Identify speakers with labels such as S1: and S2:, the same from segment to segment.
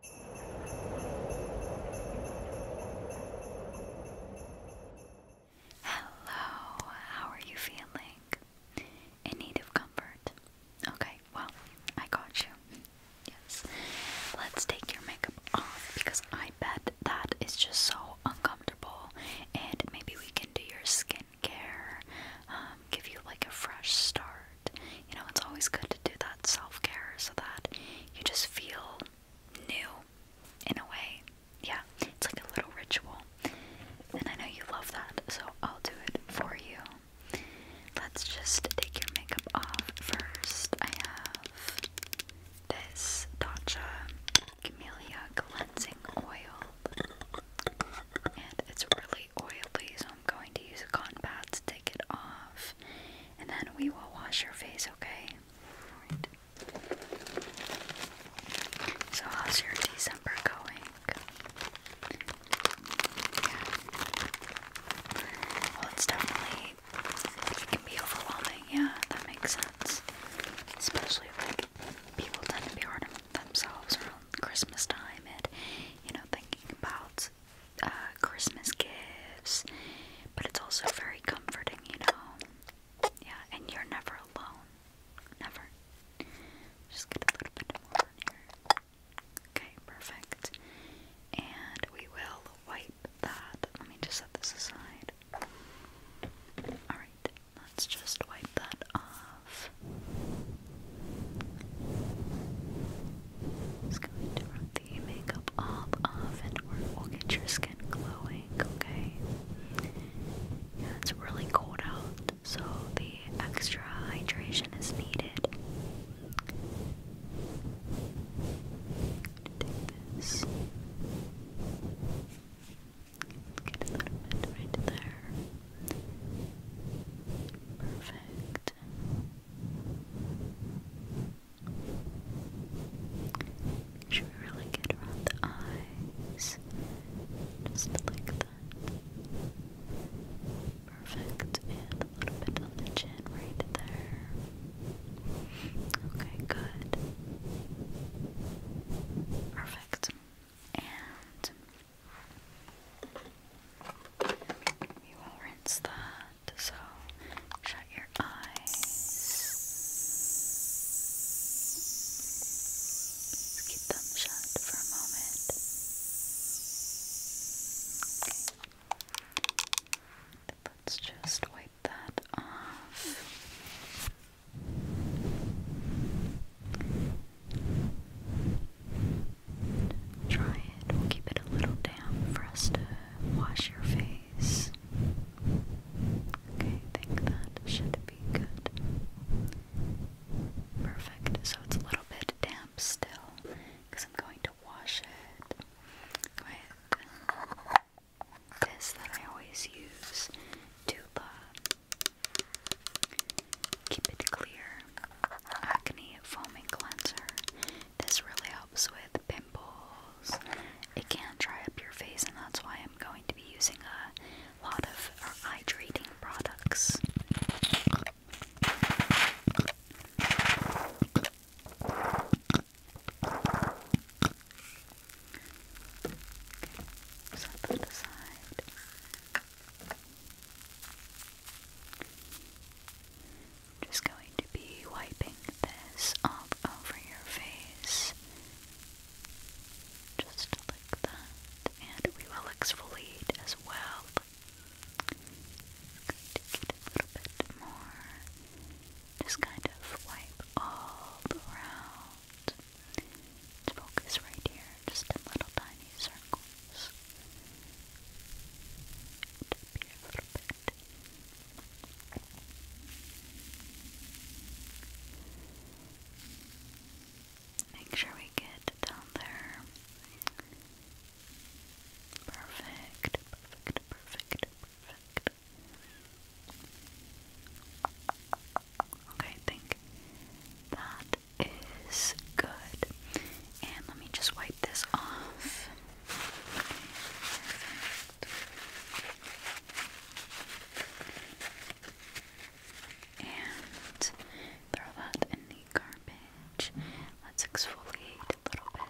S1: Hello, how are you feeling? In need of comfort. Okay, well, I got you. Yes. Let's take your makeup off because I bet that is just so uncomfortable. And maybe we can do your skincare, um, give you like a fresh start. You know, it's always good to do that self care so that you just feel new in a way. Yeah, it's like a little ritual. And I know you love that, so I'll do it for you. Let's just take your makeup off first. I have this Tatcha Camellia Cleansing Oil. And it's really oily, I'm going to use a cotton pad to take it off, and then we will wash your face, okay? So, how's your December going? Well, it's definitely, can be overwhelming, yeah, that makes sense. Especially, like, people tend to be hard on themselves around Christmas time and, you know, thinking about uh, Christmas gifts, but it's also very comforting, you know. Yeah, and you're never alone. Never. Just get a little bit more on here. Okay, perfect. And we will wipe that. Let me just set this aside. Alright, let's just wipe that off. It's going to run the makeup off, off and we'll get your skin glowing, okay? it's really cold out, so the extra hydration is needed. get a little bit right there. Perfect. Should be really good around the eyes. Just like that. Perfect. And a little bit on the chin right there. Okay, good. Perfect. And we will rinse that. So shut your eyes. Keep them shut for a moment. Let's just wipe that off. Try it. keep it a little damp for us to wash your face. Okay, I think that should be good. Perfect. So it's a little bit damp still because I'm going to wash it with this that I always use, Tuba. Keep it clear. Acne foaming cleanser. This really helps with pimples. It can dry up your face, and that's why I'm going to be using a lot of hydrating products. Okay, set that aside just going to be wiping this all over your face. Just like that. And we will exfoliate as well. to get a little bit more. Just kind of wipe all around. let focus right here, just in little tiny circles. Tip here a little bit. Make sure we get down there. Perfect, perfect, perfect, perfect. Okay, I think that is good. And let me just wipe this off. And throw that in the garbage. Let's exfoliate a little bit.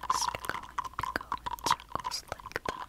S1: Just going to go in like that.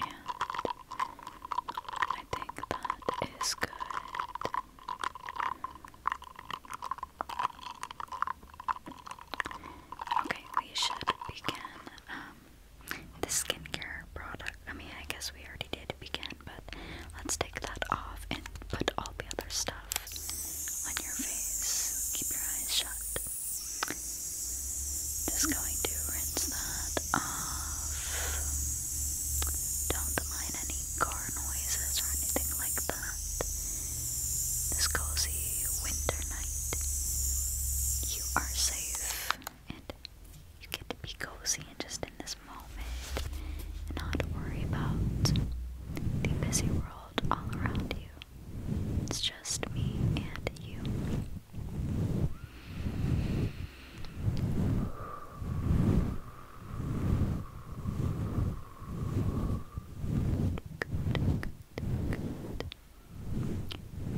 S1: And I think that is good. Okay, we should begin um, the skincare product. I mean, I guess we already did begin, but let's take that off and put all the other stuff on your face. Keep your eyes shut. Just going to rinse that off. Don't mind any car noises or anything like that. This cozy winter night, you are safe and you get to be cozy and just in this moment not worry about the busy world all around you. It's just me and you good.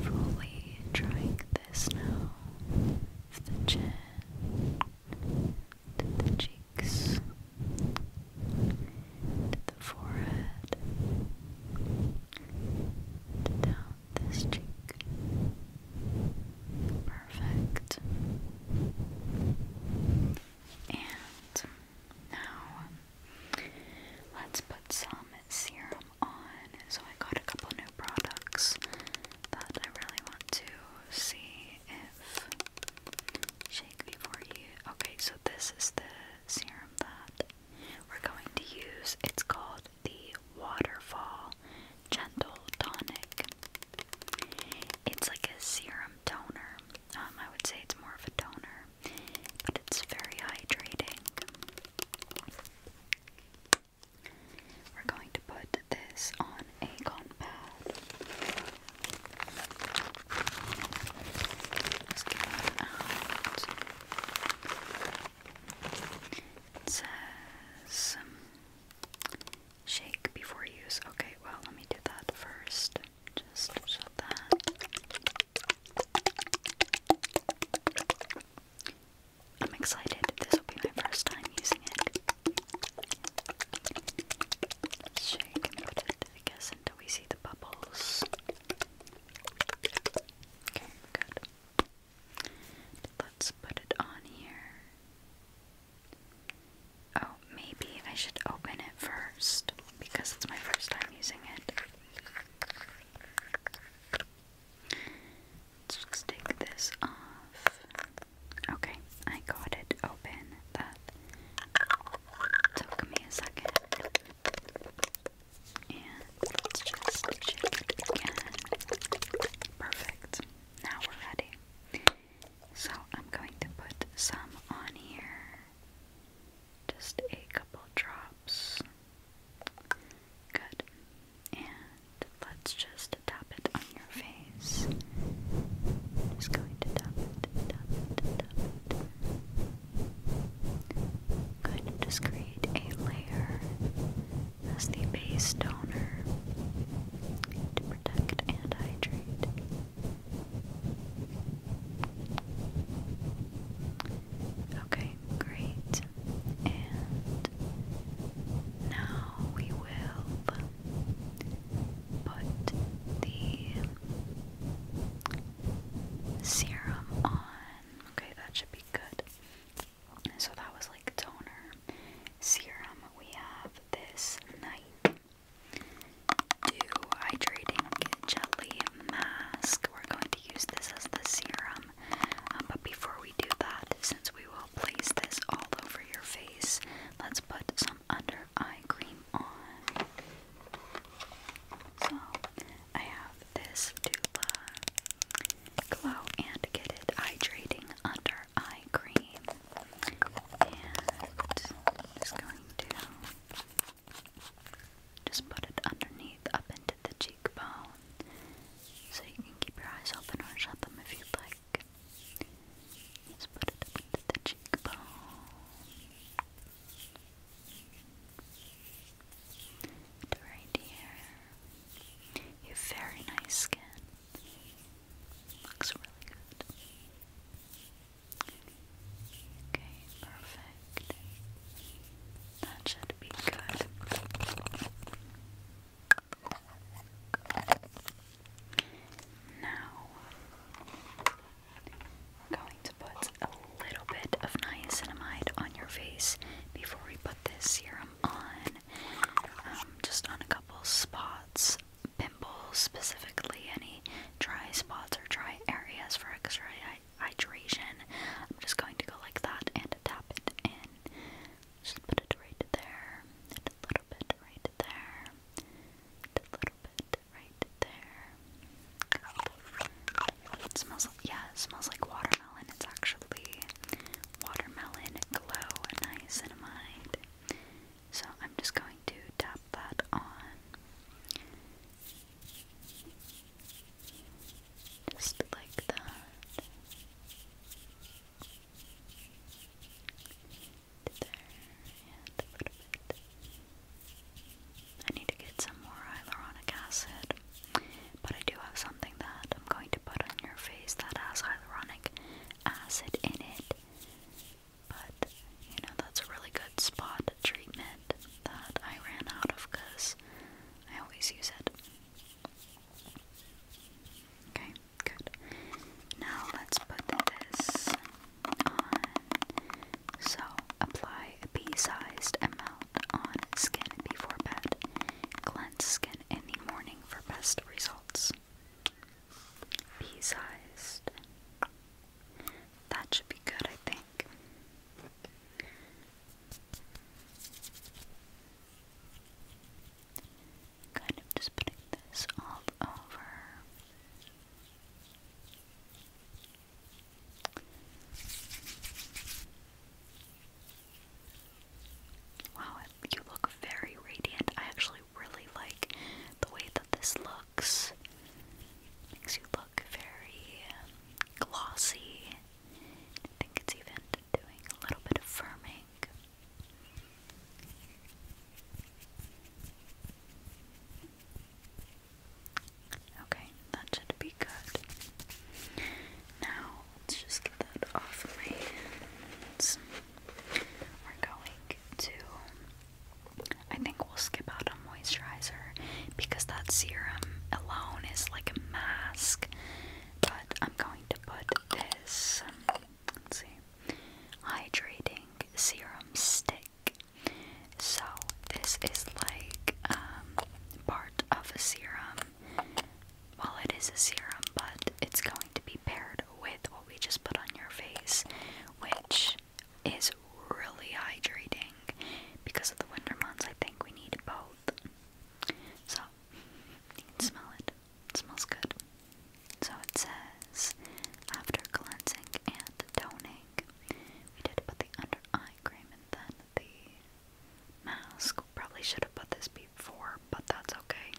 S1: Fully drying this now. Of the chin to the cheeks to the forehead to down this cheek. Perfect. And now let's put some serum on. So I got a couple new products that I really want to see if shake before you. Okay, so this is the serum that we're going to use. It's called the Waterfall Gentle Tonic. It's like a serum toner. Um, I would say it's more of a toner, but it's very hydrating. We're going to put this on a cotton it says um, shake before use. Okay, well, let me do that first. Just shut that. I'm excited. This will be my first time using it. Shake I guess, until we see the bubbles. Okay, good. Let's put it on here. Oh, maybe I should open it first because it's my first time using it. Let's take this off. Okay, I got it open. That took me a second. And just check it again. Perfect. Now we're ready. So I'm going to put some on here. Just a couple drops. Good. And let's just tap it on your face. just going to tap it, tap tap it. Good. Just create a layer as the base donor to protect and hydrate. Okay, great. And now we will put the serum on. Okay, that should be good. So that was like toner. Serum, we have this night dew hydrating jelly mask. We're going to use this as the serum. Um, but before we do that, since we will place this all over your face, let's put some under eye cream on. So I have this Dula Glow and Get It Hydrating Under Eye Cream. And just going to just put it underneath up into the cheekbone. So you can keep your eyes open or shut them if you like. Just put it up into the cheekbone. right here. You have very nice skin. Looks really good. Okay, perfect. That should be good. Now, we're going to put a little bit of niacinamide on your face before we put this serum on um, just on a couple spots, pimples specifically, any dry spots or dry areas for extra hydration. I'm just going to go like that and tap it in. Just put it right there, a little bit right there, a little bit right there. It smells like, yeah, it smells like water. And It's actually watermelon glow and niacinamide. So I'm just going to tap that on. Just like that. There and a little bit. I need to get some more hyaluronic acid. But I do have something that I'm going to put on your face that has hyaluronic acid in it. But, you know, that's a really good spot treatment that I ran out of because I always use it. Okay, good. Now let's put this on. So, apply a pea sized amount on skin before bed. Cleanse skin taken in the morning for best results. Pea-sized. That should be good, I think. Kind of just putting this all over. Wow, you look very radiant. I actually really like the way that this looks. Makes you look very glossy. I think it's even doing a little bit of firming. Okay, that should be good. Now, let's just get that off of my hands. We're going to. I think we'll skip out on moisturizer because that serum alone is like a mask. But I'm going to put this. Um, let's see. Hydrating serum stick. So, this is like um, part of a serum well, it is a serum, but it's going to be paired with what we just put on your face, which is really hydrating. Because of the winter months, I think we need both. So, you can smell it. It smells good. So it says, after cleansing and toning, we did put the under eye cream and then the mask. Probably should have put this before, but that's okay.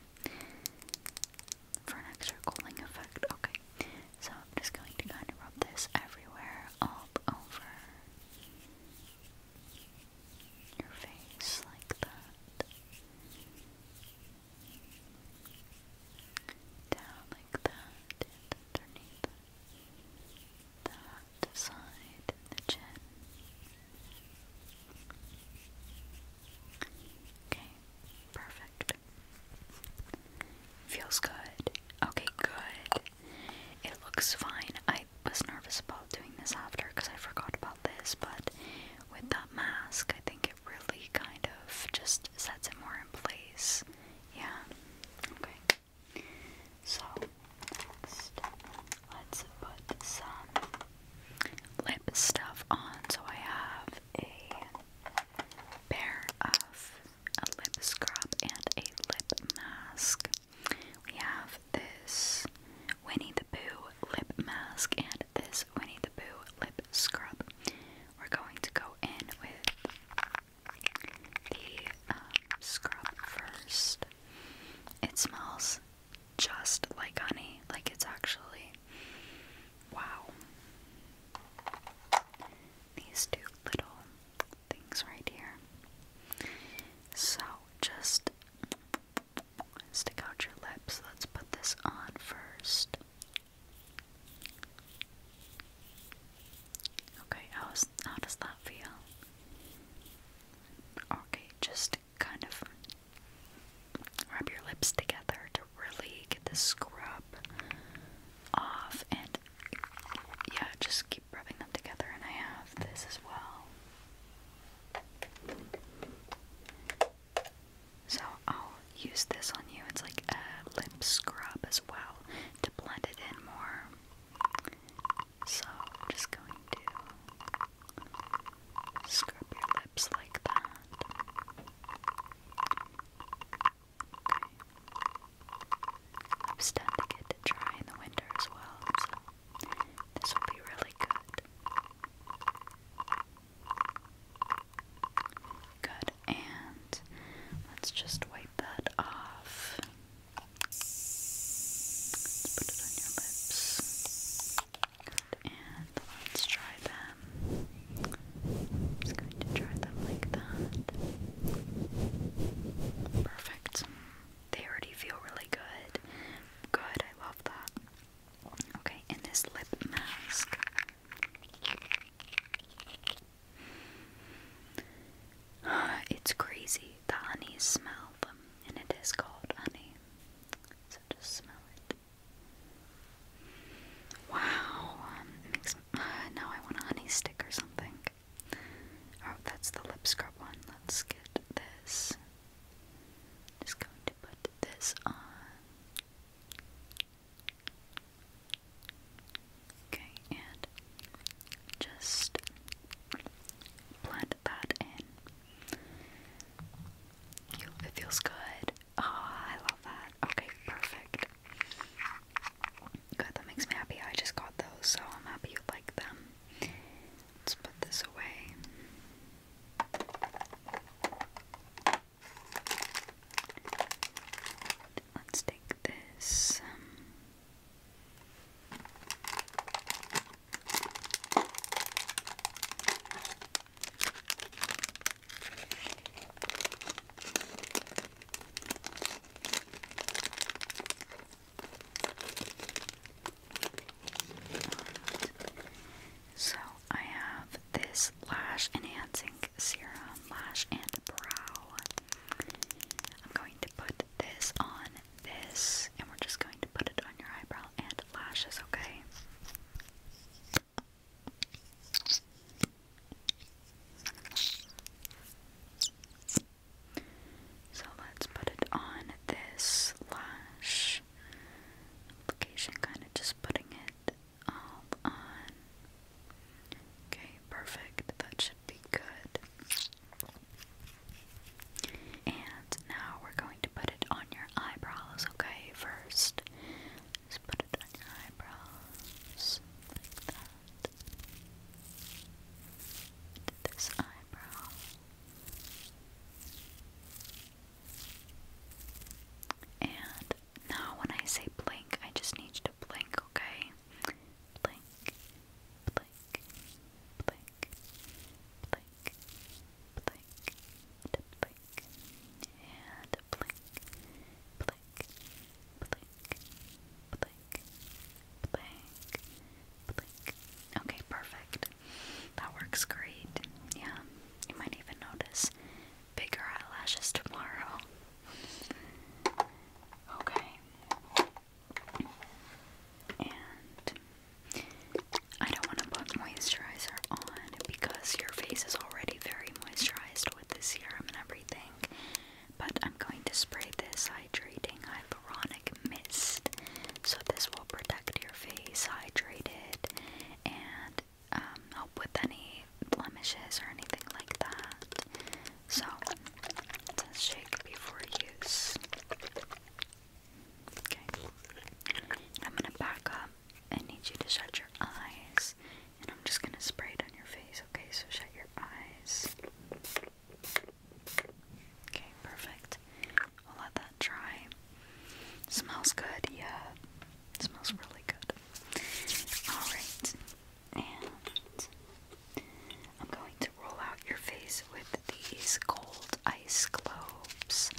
S1: For an extra cooling effect. Okay. So I'm just going to kind of rub this everywhere, all over your face, like that. Down like that, underneath that side, the chin. Okay, perfect. Feels good. Okay, good. It looks fine. I was nervous about doing this after because I forgot about this, but with that mask, I think it really kind of just sets it more in place. Yeah. Okay. So, next, let's put some lip stuff on, so I have a pair of a lip scrub and a lip mask. We have this Winnie the Pooh lip mask and this Winnie the Pooh lip scrub. We're going to go in with the um, scrub first. It smells just like honey. Like it's actually wow. These two little things right here. So just stick out your lips. Let's put this on first. Okay, how's, how does that feel? Okay, just kind of rub your lips together to really get the scrub off and yeah, just keep rubbing them together and I have this as well. So I'll use this on you. It's like a lip scrub as well to blend it in more. So I'm just going to scrub your lips like that. Okay. I'm to get dry in the winter as well, so this will be really good. Good, and let's just wipe that off. Let's put it on your lips and let's try them. I'm just going to try them like that. Perfect. They already feel really good. Good, I love that. Okay, and this lip mask. It's crazy. The honey smell, and it is called honey just smell it. Wow, um, uh, now I want a honey stick or something. Oh, that's the lip scrub one. Let's get this. Just going to put this on. Okay, and just blend that in it feels good. Oh, I love that. Okay, perfect. Good, that makes me happy. I just got those, so I'm happy you like them. Let's put this away. Let's take this. Um, so I have this lash enhancing serum, lash and brow. I'm going to put this on this and we're just going to put it on your eyebrow and lashes, okay? So let's put it on this lash application, kind of just putting it all um, on. Okay, perfect. That should be good. And now we're going to put it on your eyebrows, okay? First, just put it on your eyebrows like that. this eyebrow. And now when I say blink, I just need you to blink, okay? Blink, blink, blink, blink, blink, blink, and blink, and blink, blink, blink, blink, blink, blink. Okay, perfect. That works great. Yeah, you might even notice bigger eyelashes tomorrow. Okay. And I don't want to put moisturizer on because your face is already very moisturized with the serum and everything. But I'm going to spray this hydrating hyaluronic mist. So this will protect your face hydrated and um, help with any blemishes or anything like that. So, it says shake before use. Okay. I'm gonna back up. I need you to shut your eyes. And I'm just gonna spray it on your face, okay? So shut your eyes. Okay, perfect. We'll let that dry. Smells good, yeah. smells really good. Alright. And I'm going to roll out your face with these gold ice globes.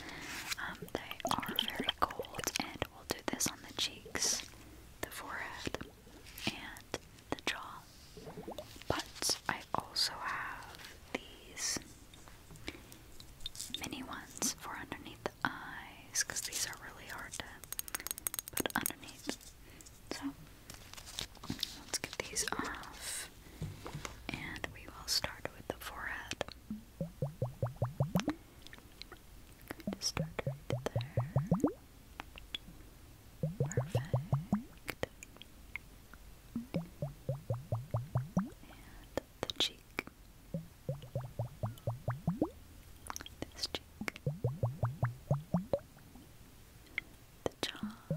S1: Um, they are very cold, and we'll do this on the cheeks, the forehead, and the jaw. But I also have these mini ones for underneath the eyes, because these are really hard to put underneath. So let's get these off. And we will start with the forehead. start there. Perfect. And the cheek. This cheek. The jaw.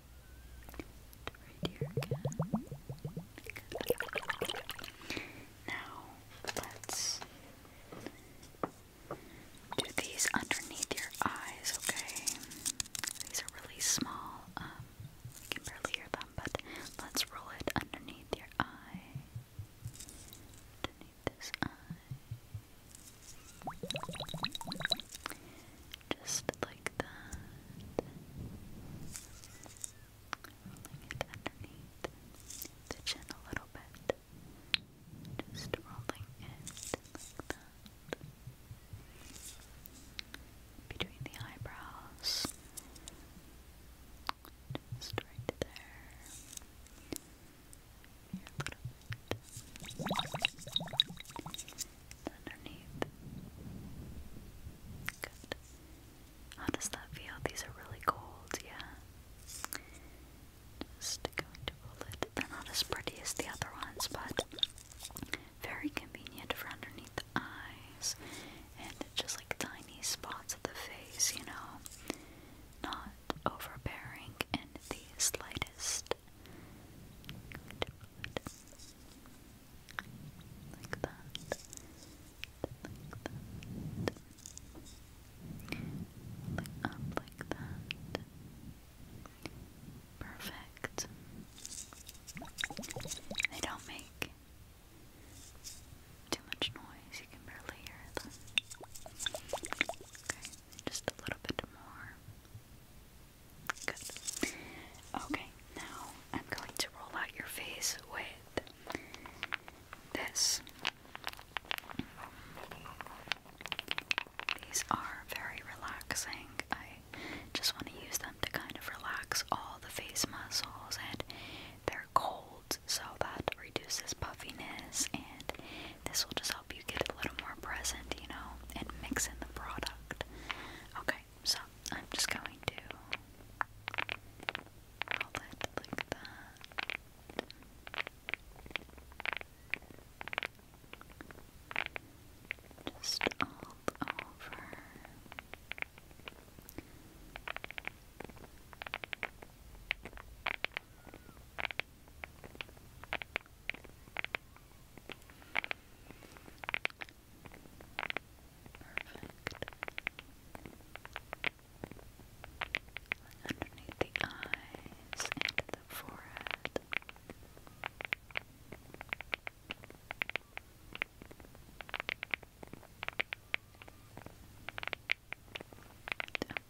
S1: Now let's do these underneath your eyes, okay? These are really small. Um, you can barely hear them, but let's roll it underneath your eye. Underneath this eye. Just like that. underneath the chin a little bit. Just rolling it like that. Between the eyebrows. Just right there underneath. Good. How does that feel? These are really cold, yeah. Just going to roll They're not as pretty as the other ones, but very convenient for underneath the eyes and just like tiny spots of the face, you know. Not overbearing in the slightest. Good. Like that. Like that. Like up like that. Perfect. They don't make too much noise, you can barely hear them. Okay, just a little bit more. Okay, now I'm going to roll out your face with this. These are very relaxing. I just want to use them to kind of relax all the face muscles, and they're cold, so that reduces puffiness, and this will just help you get a little more present, you know, and mix in the product. Okay, so I'm just going to roll it like that. Just all over. Underneath the eyes, into the forehead. Down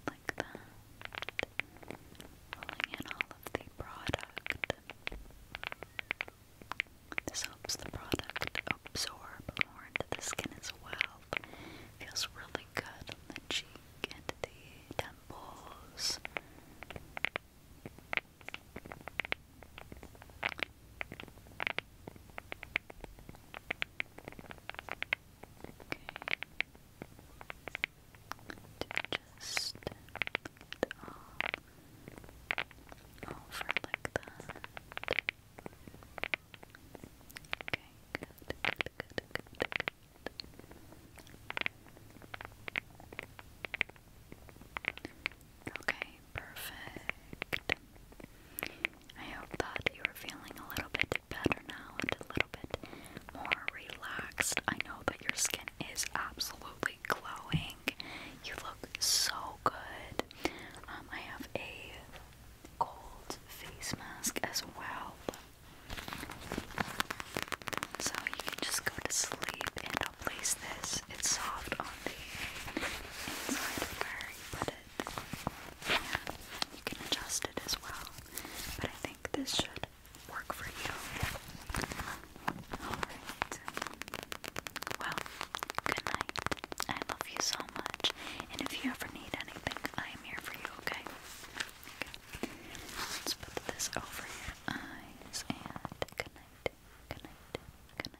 S1: like that. Pulling in all of the product. This helps the product absorb more into the skin as well. Feels really good on the cheek and the temples. Okay, perfect. I hope that you are feeling a little bit better now and a little bit more relaxed. I know that your skin skin is absolutely glowing. You look so good. Um, I have a gold face mask as well. So you can just go to sleep and place this. It's soft on the inside where you put it. you can adjust it as well. But I think this should work for you. Alright. Well, good night. I love you so much. And if you ever need anything, I am here for you, okay? Let's put this over your eyes good night. Good night. Good night.